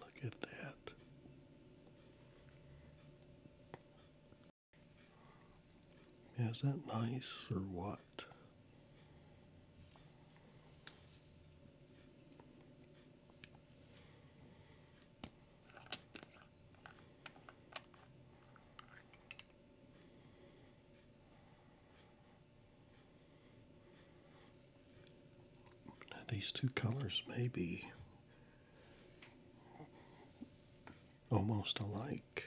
look at that. is that nice or what? these two colors may be almost alike.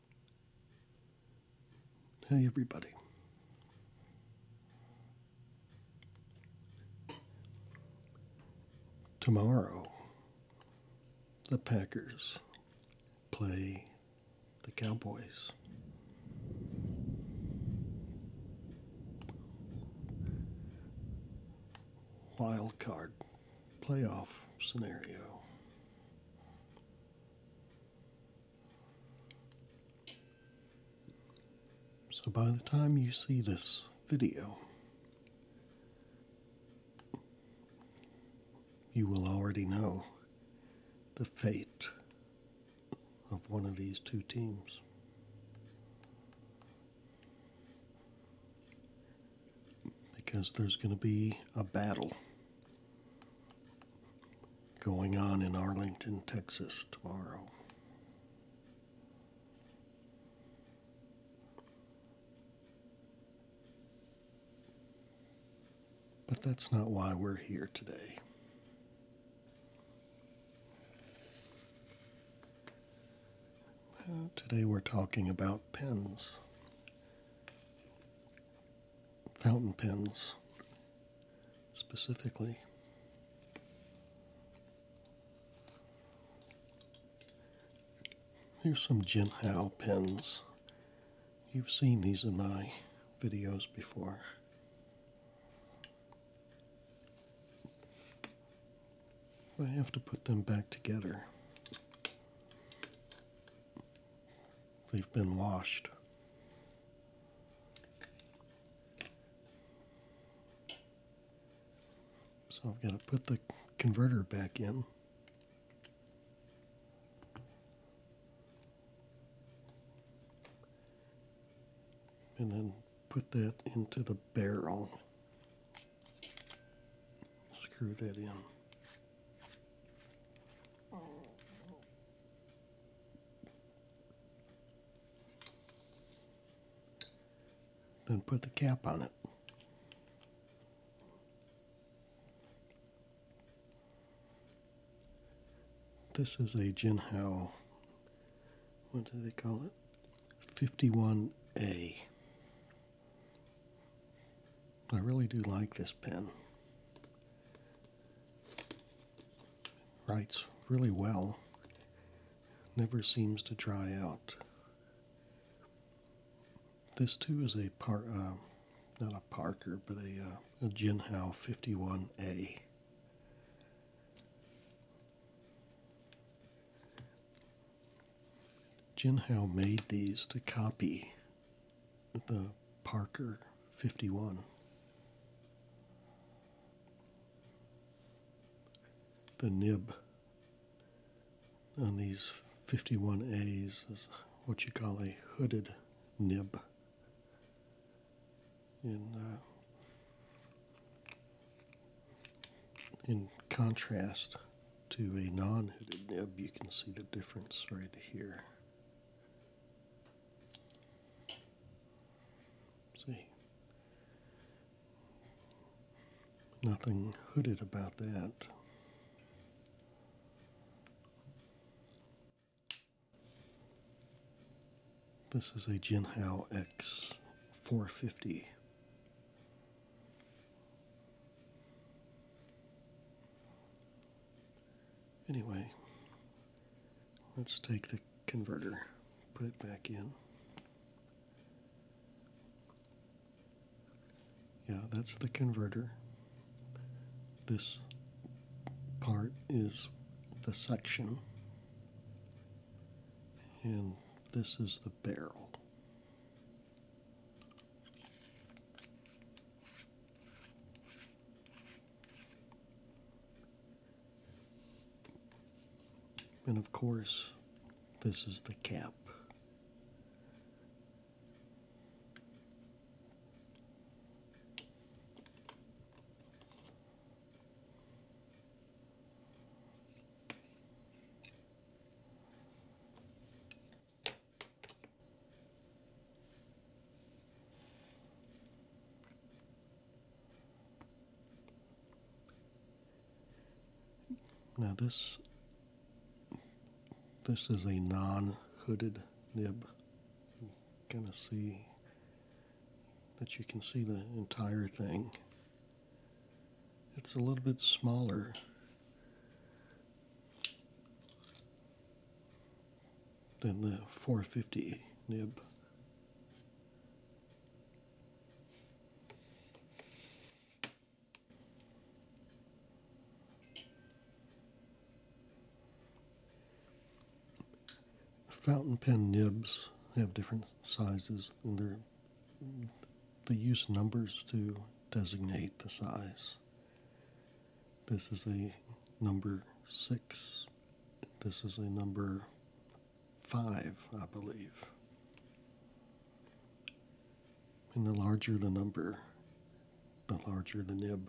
Hey, everybody. Tomorrow, the Packers play the Cowboys. Wild card playoff scenario. So by the time you see this video, you will already know the fate of one of these two teams. Because there's going to be a battle going on in Arlington, Texas tomorrow. But that's not why we're here today. today we're talking about pens fountain pens specifically. Here's some Jinhao pens. You've seen these in my videos before. I have to put them back together. They've been washed. So I've got to put the converter back in. And then put that into the barrel. Screw that in. Then put the cap on it. This is a Jinhao, what do they call it? 51A. I really do like this pen writes really well, never seems to dry out. This too is a part, uh, not a Parker, but a, uh, a Jinhao 51A. Jinhao made these to copy the Parker 51. The nib on these 51As is what you call a hooded nib. In, uh, in contrast to a non-hooded nib, you can see the difference right here. See? Nothing hooded about that. This is a Jinhao X 450. Anyway, let's take the converter, put it back in. Yeah, that's the converter. This part is the section, and this is the barrel. And of course, this is the cap. Now this this is a non-hooded nib. You kind of see that you can see the entire thing. It's a little bit smaller then the 450 nib. Fountain pen nibs have different sizes and they're, they use numbers to designate the size. This is a number six. This is a number five, I believe. And the larger the number, the larger the nib.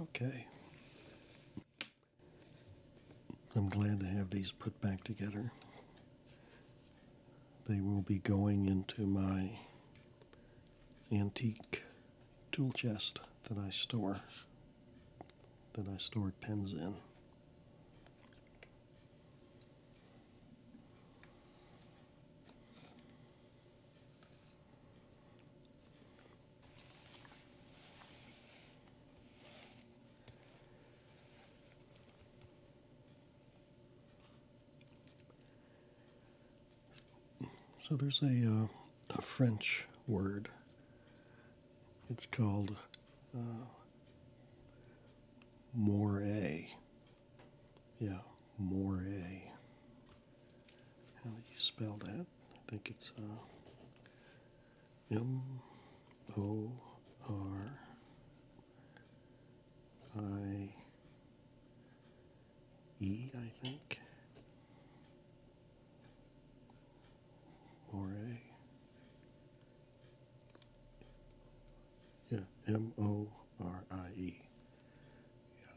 Okay. I'm glad to have these put back together. They will be going into my antique tool chest that I store, that I store pens in. So there's uh, a, French word. It's called uh, yeah, more How do you spell that? I think it's uh, M O R I E, I think. More Yeah, M O R I E. Yeah.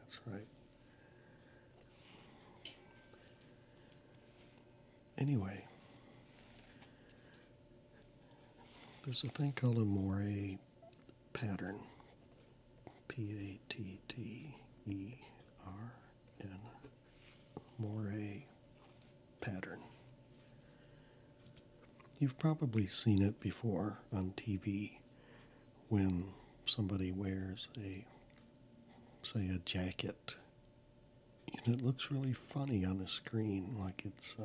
That's right. Anyway, there's a thing called a moire pattern. P A T T E R N. Moire pattern. You've probably seen it before on TV when somebody wears a, say, a jacket, and it looks really funny on the screen, like it's, uh,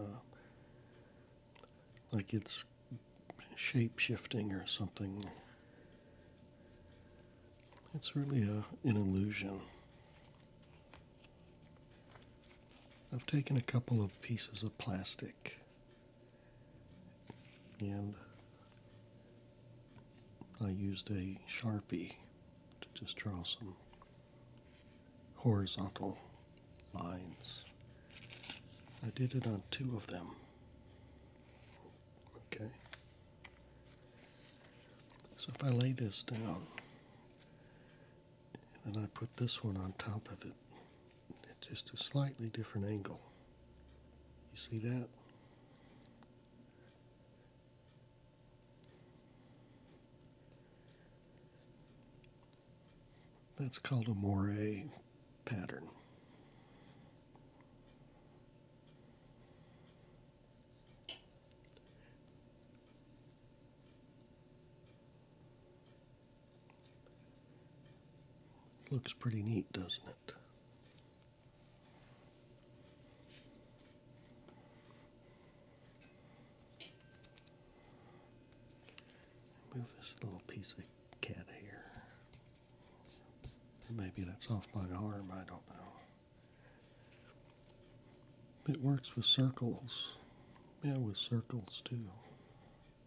like it's shape shifting or something. It's really a, an illusion. I've taken a couple of pieces of plastic and I used a sharpie to just draw some horizontal lines. I did it on two of them. Okay. So if I lay this down, and then I put this one on top of it at just a slightly different angle. You see that? That's called a moire pattern. Looks pretty neat, doesn't it? Move this little piece of cat hair. Maybe that's off my arm, I don't know. It works with circles. Yeah, with circles too.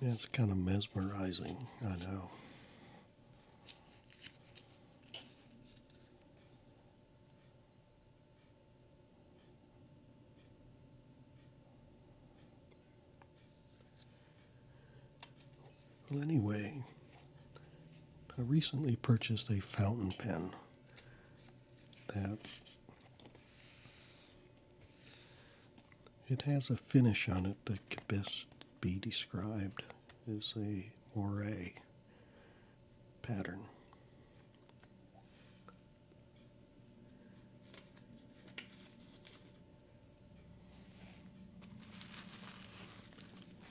That's kind of mesmerizing, I know. Well, anyway, I recently purchased a fountain pen that it has a finish on it that can best be described as a moire pattern.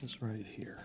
It's right here.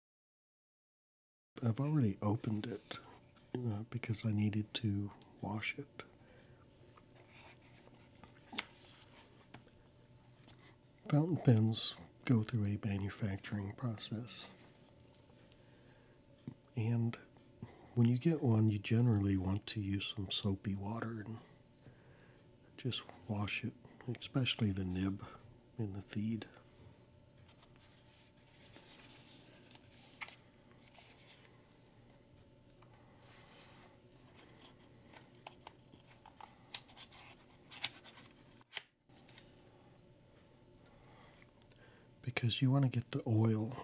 I've already opened it uh, because I needed to wash it. Fountain pens go through a manufacturing process. And when you get one, you generally want to use some soapy water and just wash it, especially the nib and the feed. Because you want to get the oil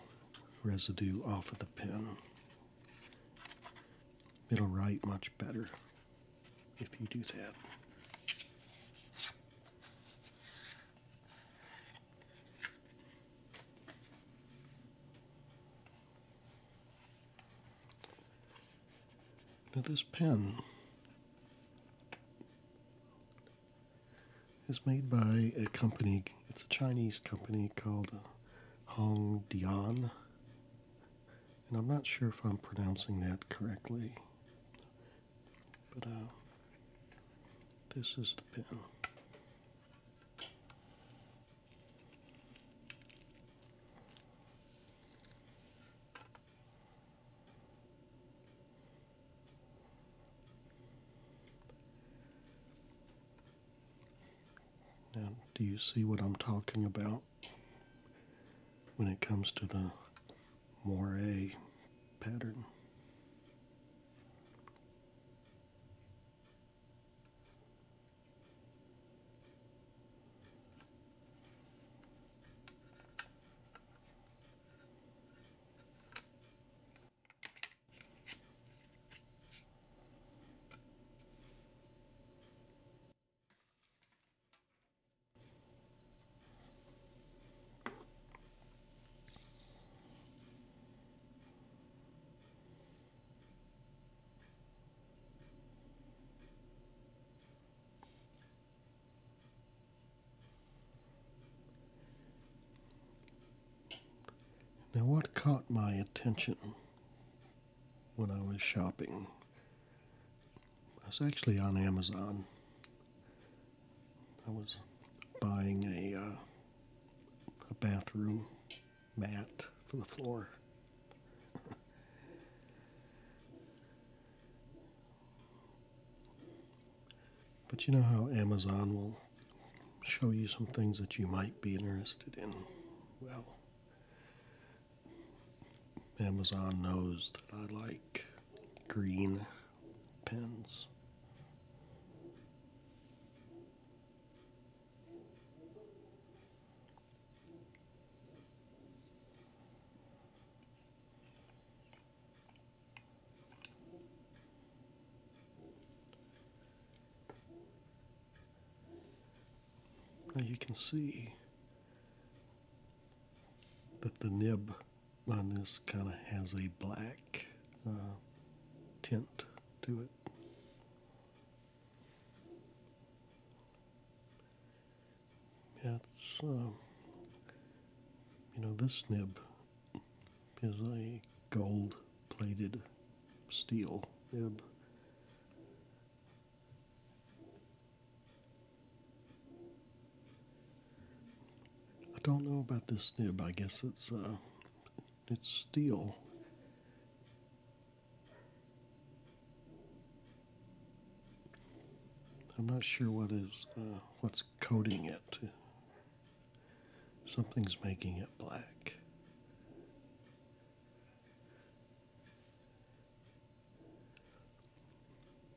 residue off of the pen. It'll write much better if you do that. Now, this pen is made by a company, it's a Chinese company called Hongdian, And I'm not sure if I'm pronouncing that correctly. But uh, this is the pin. Now, do you see what I'm talking about when it comes to the moire pattern. Now, what caught my attention when I was shopping? I was actually on Amazon I was buying a, uh, a bathroom mat for the floor. but you know how Amazon will show you some things that you might be interested in? Well, Amazon knows that I like green pins. Now you can see that the nib on this kind of has a black uh, tint to it. That's, uh, you know, this nib is a gold plated steel nib. I don't know about this nib. I guess it's uh, it's steel. I'm not sure what is uh, what's coating it. Something's making it black.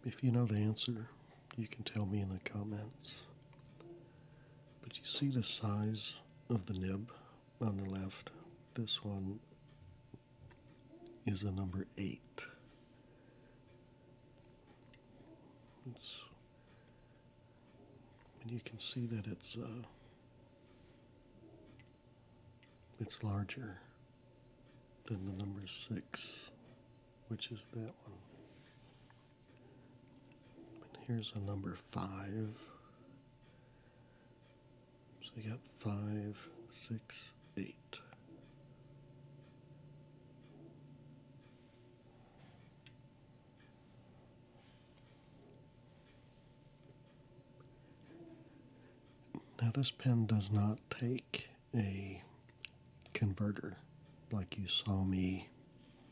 If you know the answer, you can tell me in the comments. But you see the size of the nib on the left? This one is a number 8. and you can see that it's uh, it's larger than the number 6 which is that one. And here's a number five. So you got five, six, eight. Now this pen does not take a converter like you saw me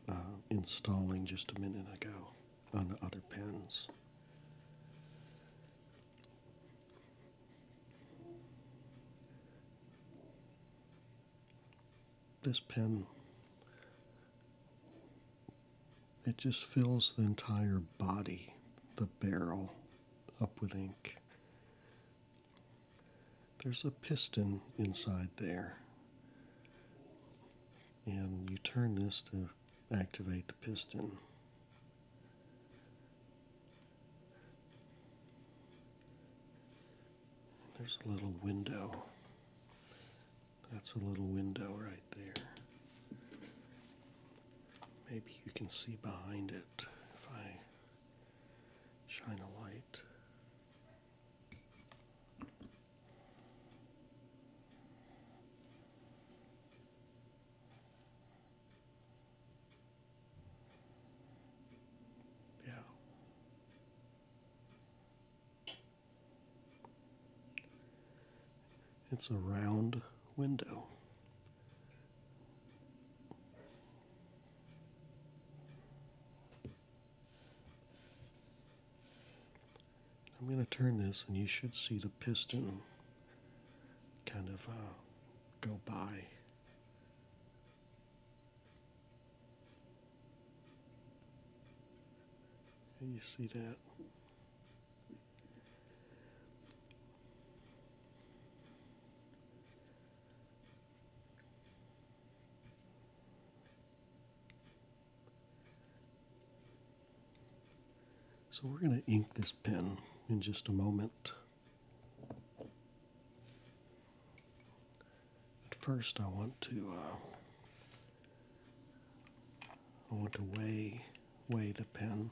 uh, installing just a minute ago on the other pens. This pen, it just fills the entire body, the barrel, up with ink. There's a piston inside there, and you turn this to activate the piston. There's a little window. That's a little window right there. Maybe you can see behind it if I shine a light. Yeah. It's a round window. I'm going to turn this and you should see the piston kind of uh, go by. you see that? So we're going to ink this pen in just a moment. But first I want to uh, I want to weigh weigh the pen.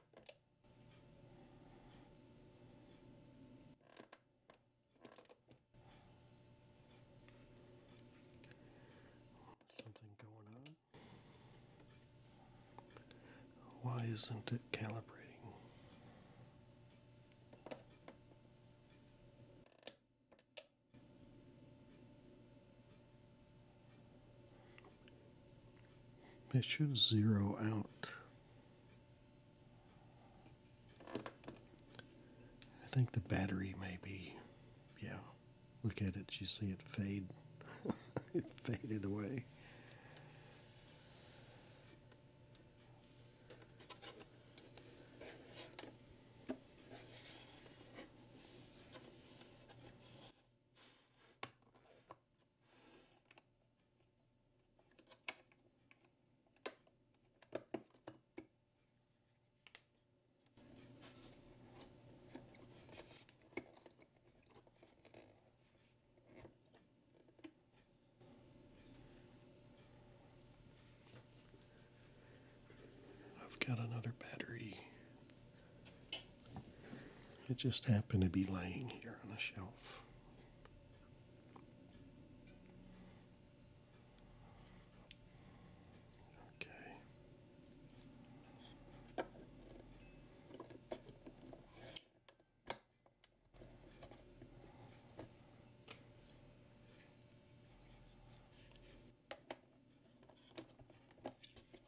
Something going on. Why isn't it calibrating? It should zero out. I think the battery maybe. yeah. Look at it, you see it fade. it faded away. I've got another battery it just happened to be lying here on a shelf. Okay.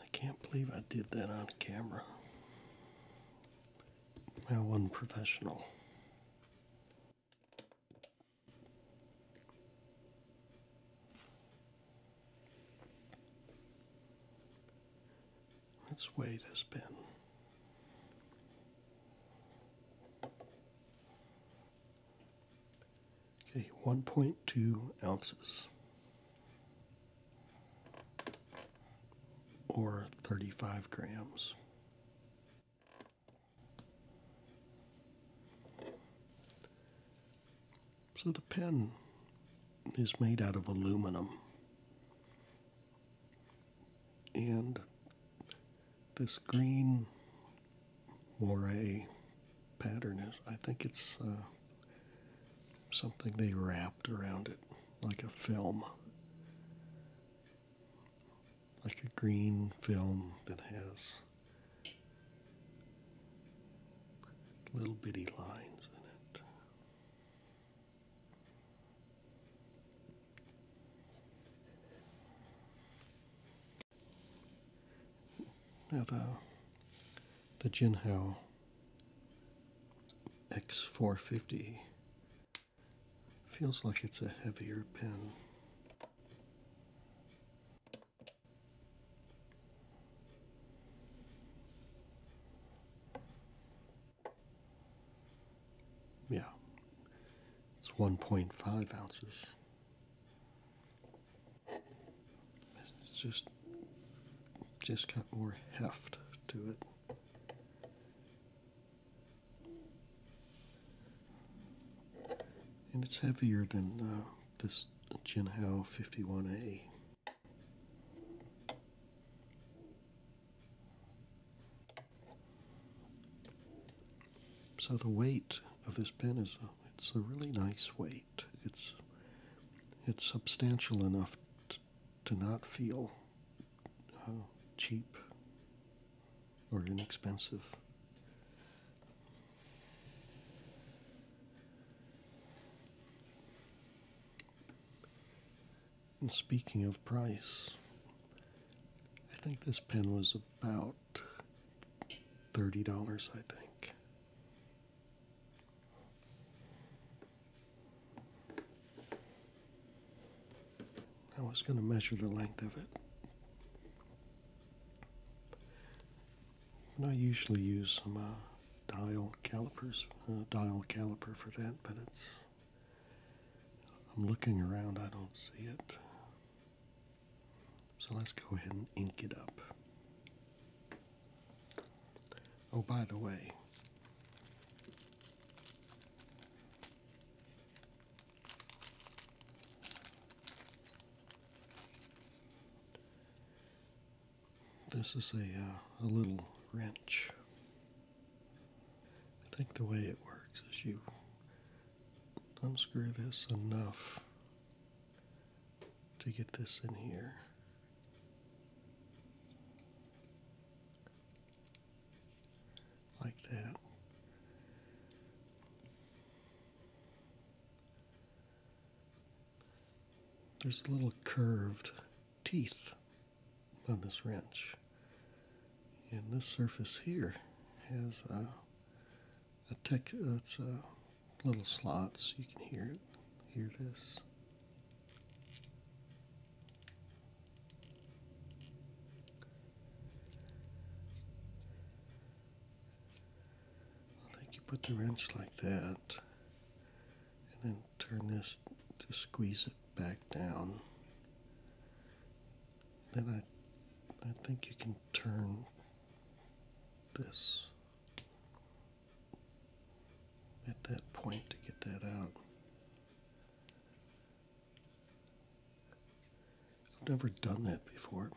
I can't believe I did that on camera. I wasn't professional. Let's weigh this bin. Okay, 1.2 ounces or 35 grams. So the pen is made out of aluminum. And this green moire pattern is, I think it's uh, something they wrapped around it, like a film, like a green film that has little bitty lines in it. Now the the Jinhao X450. Feels like it's a heavier pen. Yeah, it's 1.5 ounces. It's just just got more heft to it. And it's heavier than uh, this Jinhao 51A. So the weight of this pen is a, it's a really nice weight. It's it's substantial enough to, to not feel uh, cheap or inexpensive. And speaking of price, I think this pen was about $30, I think. I was going to measure the length of it. I usually use some uh, dial calipers, uh, dial caliper for that, but it's. I'm looking around, I don't see it. So let's go ahead and ink it up. Oh, by the way, this is a, uh, a little wrench. I think the way it works is you unscrew this enough to get this in here. Like that. There's little curved teeth on this wrench. And this surface here has a, a tech, it's little slots. You can hear it, hear this. I think you put the wrench like that and then turn this to squeeze it back down. Then I I think you can turn this at that point to get that out. I've never done that before,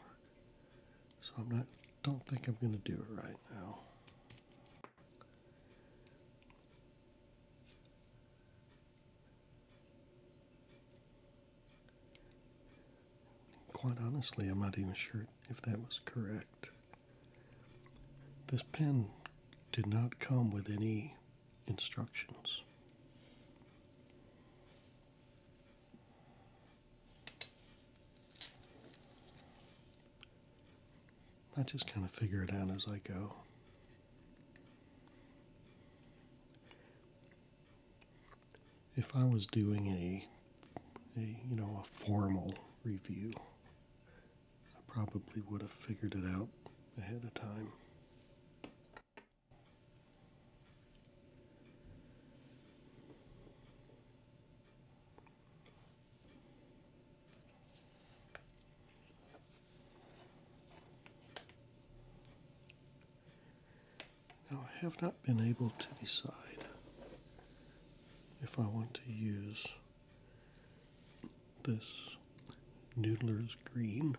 so I'm not don't think I'm going to do it right now. Quite honestly, I'm not even sure if that was correct. This pen did not come with any instructions. I just kind of figure it out as I go. If I was doing a, a you know, a formal review, I probably would have figured it out ahead of time. Now I have not been able to decide if I want to use this noodler's green.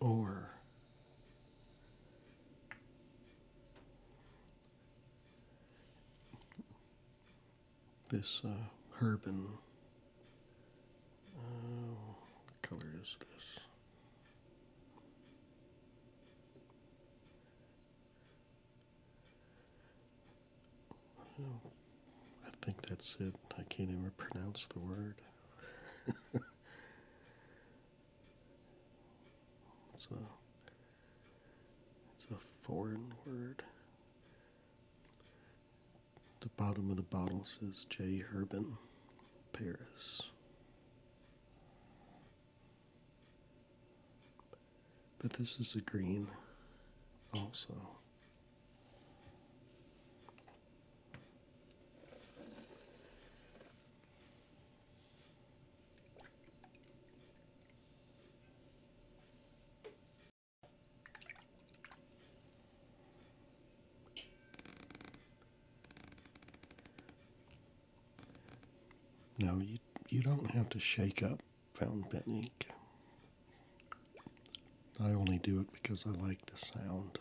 Or this uh, herb oh, color is this? Well, I think that's it. I can't even pronounce the word. it's a it's a foreign word. The bottom of the bottle says J. Urban Paris. But this is a green also. No, you, you don't have to shake up fountain pen I only do it because I like the sound.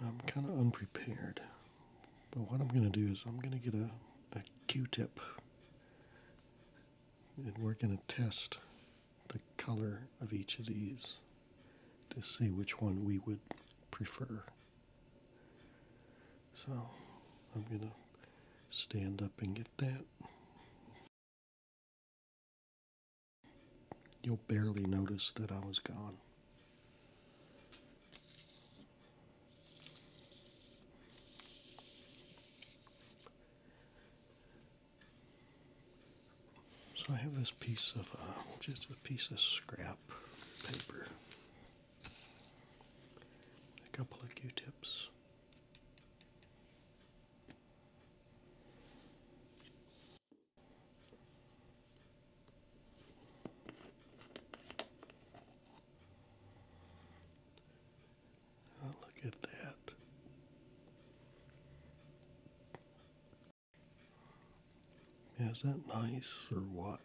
I'm kind of unprepared, but what I'm going to do is I'm going to get a, a Q-tip and we're going to test the color of each of these to see which one we would prefer. So I'm going to stand up and get that. You'll barely notice that I was gone. So I have this piece of uh, just a piece of scrap paper, a couple of Q-tips look at that. is that nice or what?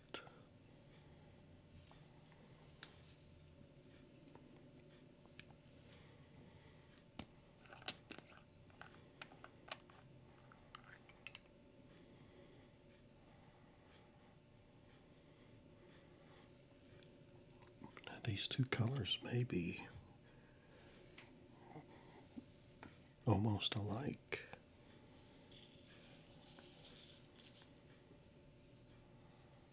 these two colors may be almost alike.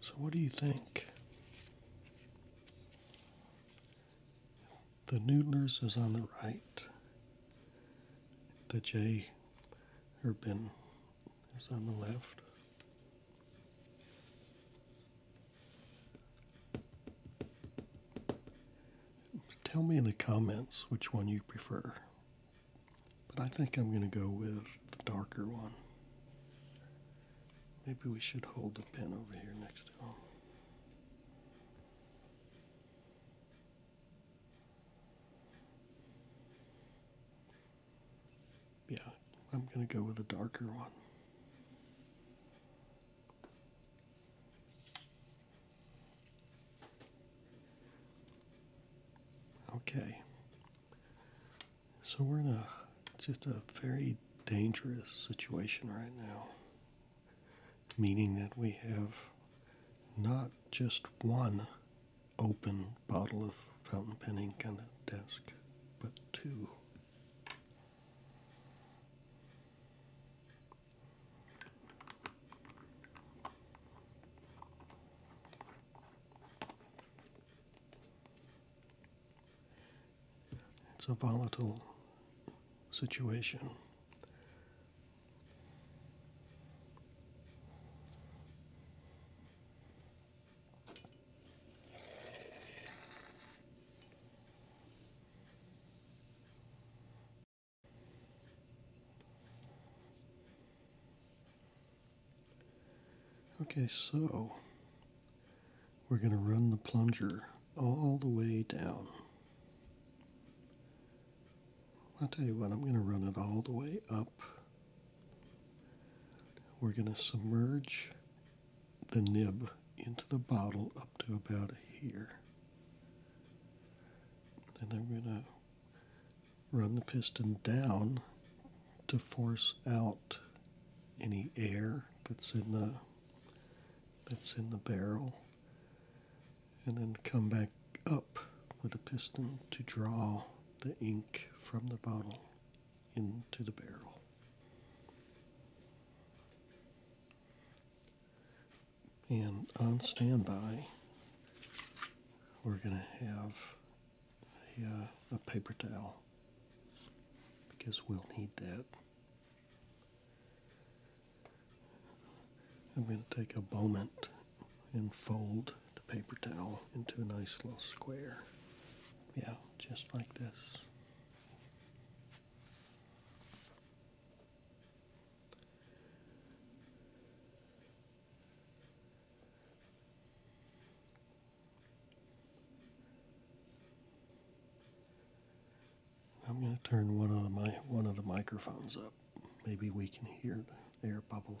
So, what do you think? The Noodlers is on the right. The J Urban is on the left. Tell me in the comments which one you prefer. But I think I'm going to go with the darker one. Maybe we should hold the pen over here next to him. Yeah, I'm going to go with a darker one. Okay. So we're in a just a very dangerous situation right now meaning that we have not just one open bottle of fountain pen ink on the desk, but two. It's a volatile situation. Okay, so we're going to run the plunger all the way down. I'll tell you what, I'm going to run it all the way up. We're going to submerge the nib into the bottle up to about here. and Then I'm going to run the piston down to force out any air that's in the that's in the barrel and then come back up with a piston to draw the ink from the bottle into the barrel. And on standby, we're going to have uh, a, paper towel because we'll need that I'm going to take a moment and fold the paper towel into a nice little square. Yeah, just like this. I'm going to turn one of the one of the microphones up. Maybe we can hear the air bubbles.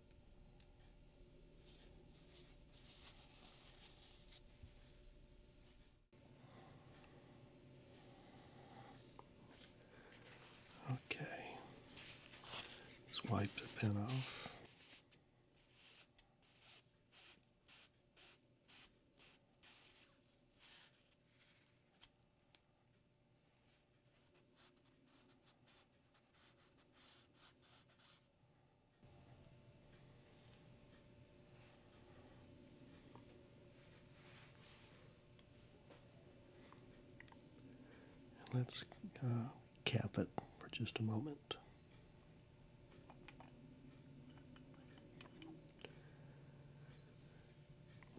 Okay, let's wipe the pen off. Let's uh, cap it for just a moment.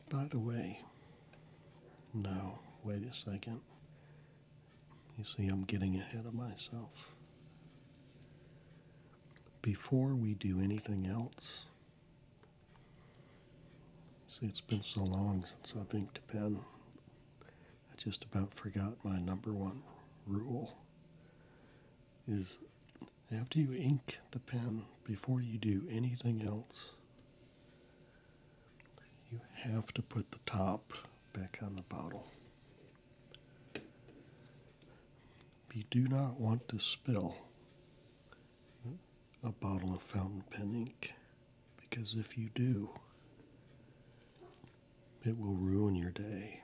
By the way, no, wait a second. You see, I'm getting ahead of myself. Before we do anything else, see, it's been so long since I've inked a pen, I just about forgot my number one rule is after you ink the pen, before you do anything else, you have to put the top back on the bottle. You do not want to spill a bottle of fountain pen ink because if you do, it will ruin your day.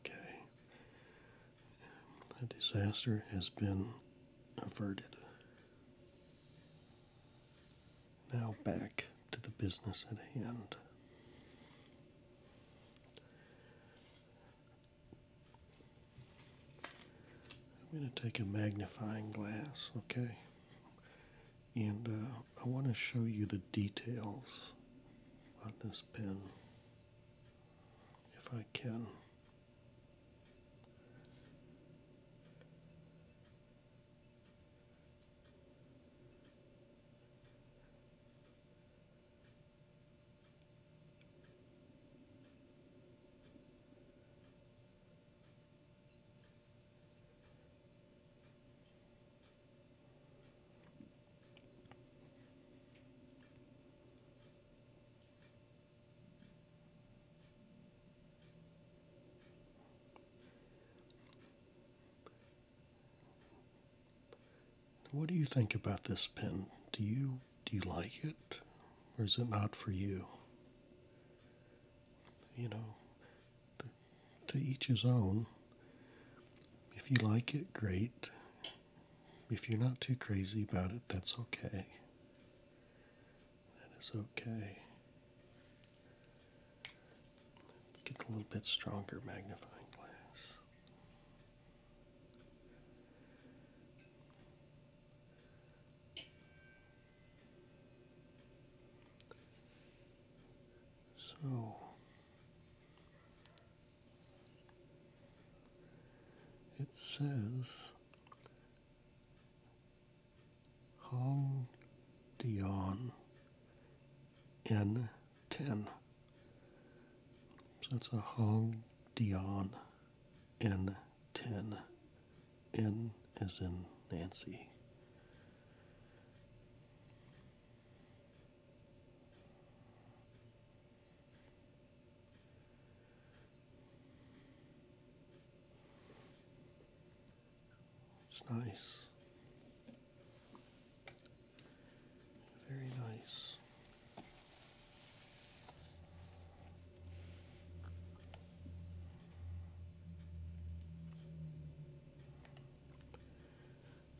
Okay. The disaster has been averted. Now back to the business at hand. I'm going to take a magnifying glass, okay? and uh, I want to show you the details on this pen if I can. What do you think about this pen? Do you do you like it? Or is it not for you? You know, to each his own. If you like it, great. If you're not too crazy about it, that's okay. That is okay. Get a little bit stronger magnifying glass. So, it says Hong Dion N10. So that's a Hong Dion N10. N as in Nancy. nice. Very nice.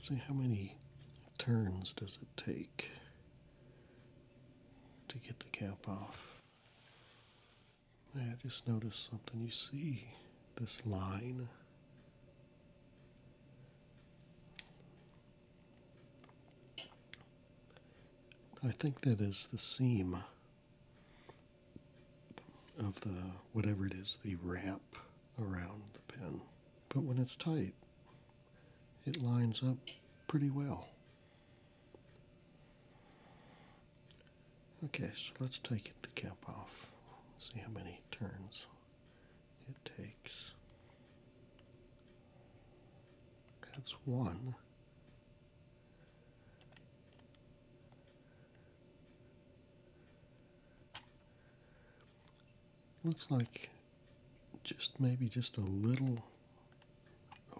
See how many turns does it take to get the cap off? I just noticed something. You see this line? I think that is the seam of the whatever it is, the wrap around the pen. But when it's tight, it lines up pretty well. Okay, so let's take the cap off. See how many turns it takes. That's one. Looks like just maybe just a little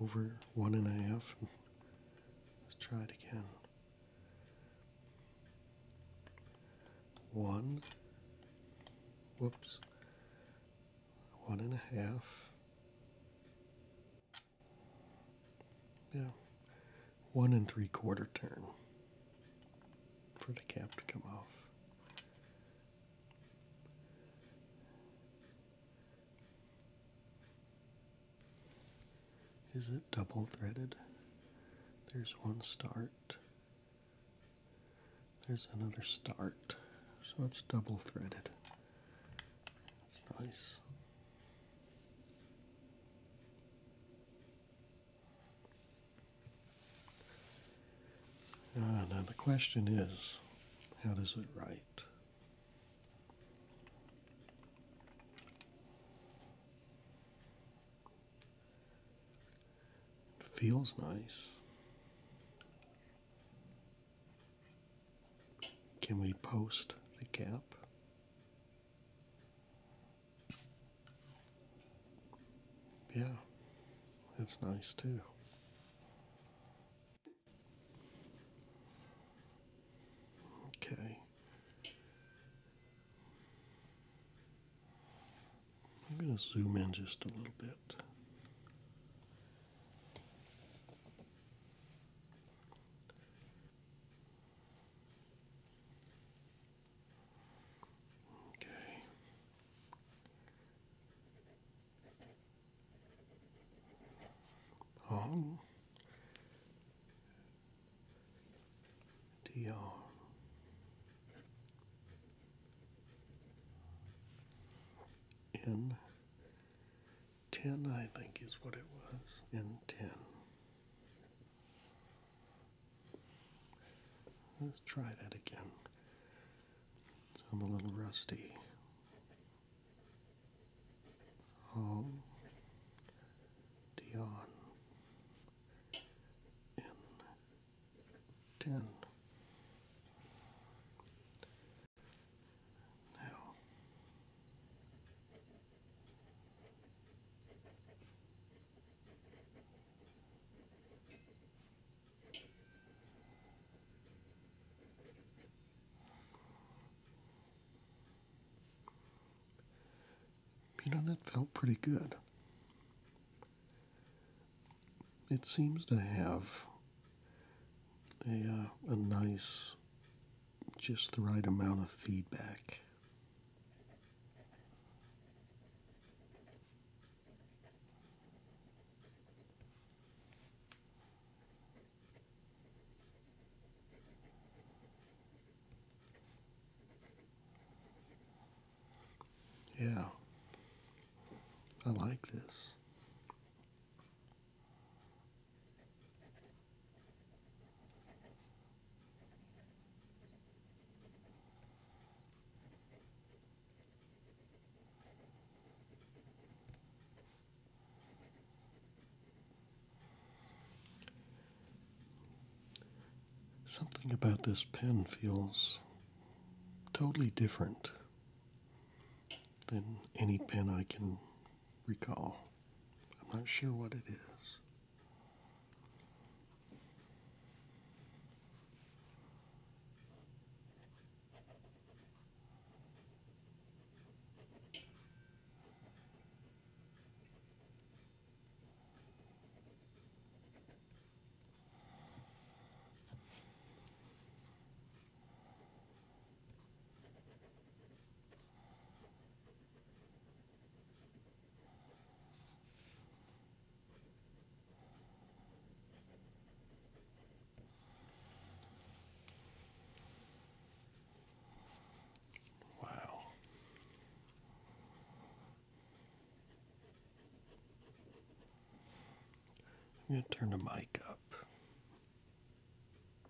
over one and a half. Let's try it again. One, whoops, one and a half, yeah. One and three quarter turn for the cap to come off. Is it double threaded? There's one start. There's another start. So it's double threaded. That's nice. Ah, now the question is, how does it write? It feels nice. Can we post the cap? Yeah, that's nice too. Okay. I'm going to zoom in just a little bit. Okay. Hong 10, I think, is what it was, in 10. Let's try that again. I'm a little rusty. Home, Dion, in 10. You know, that felt pretty good. It seems to have a, uh, a nice just the right amount of feedback. Yeah, I like this. Something about this pen feels totally different than any pen I can recall. I'm not sure what it is. Wow. I'm going to turn the mic up.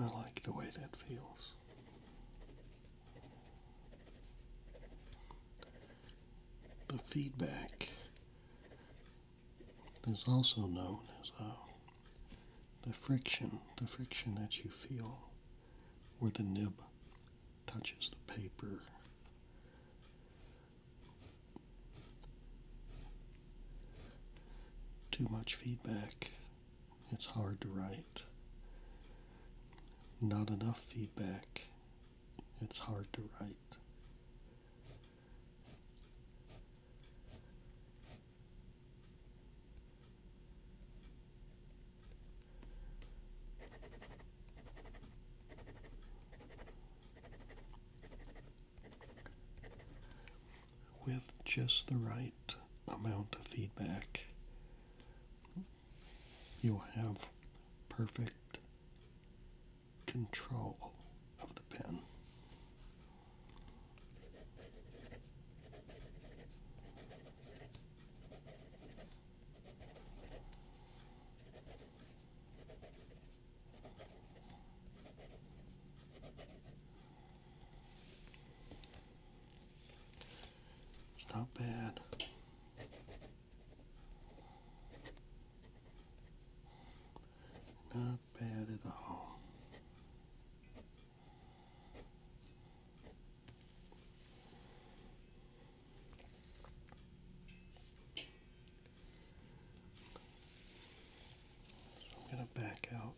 I like the way that feels. The feedback is also known as uh, the friction, the friction that you feel where the nib touches the paper. Too much feedback, it's hard to write. Not enough feedback, it's hard to write. With just the right amount of feedback, you'll have perfect control of the pen. It's not bad. Not bad at all. I'm going to back out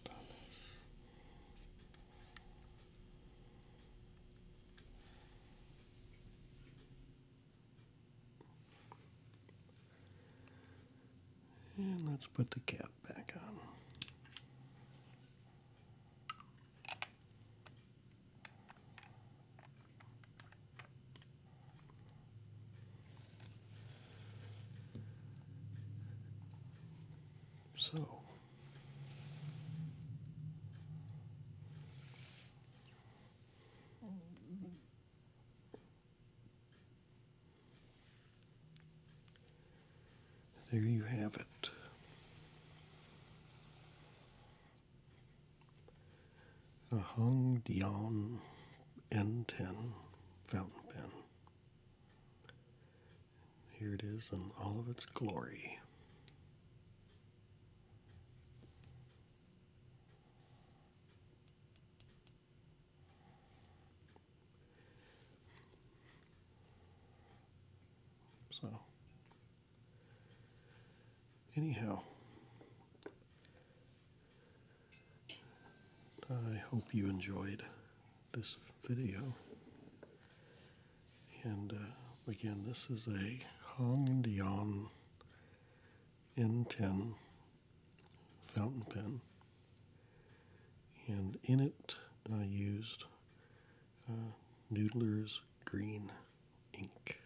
and let's put the cap back on. So, there you have it. A Hung Dion N10 fountain pen. Here it is in all of its glory. So, anyhow, I hope you enjoyed this video. And uh, again, this is a Hong Dion N10 fountain pen, and in it I used uh, Noodler's Green Ink.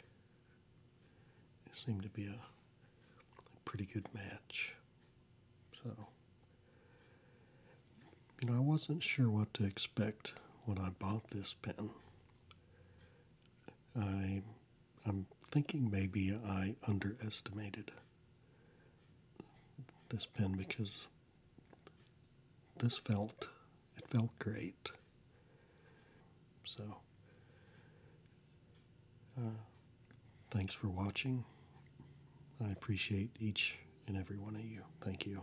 It seemed to be a pretty good match. So, you know, I wasn't sure what to expect when I bought this pen. I, I'm thinking maybe I underestimated this pen because this felt it felt great. So, uh, thanks for watching. I appreciate each and every one of you. Thank you.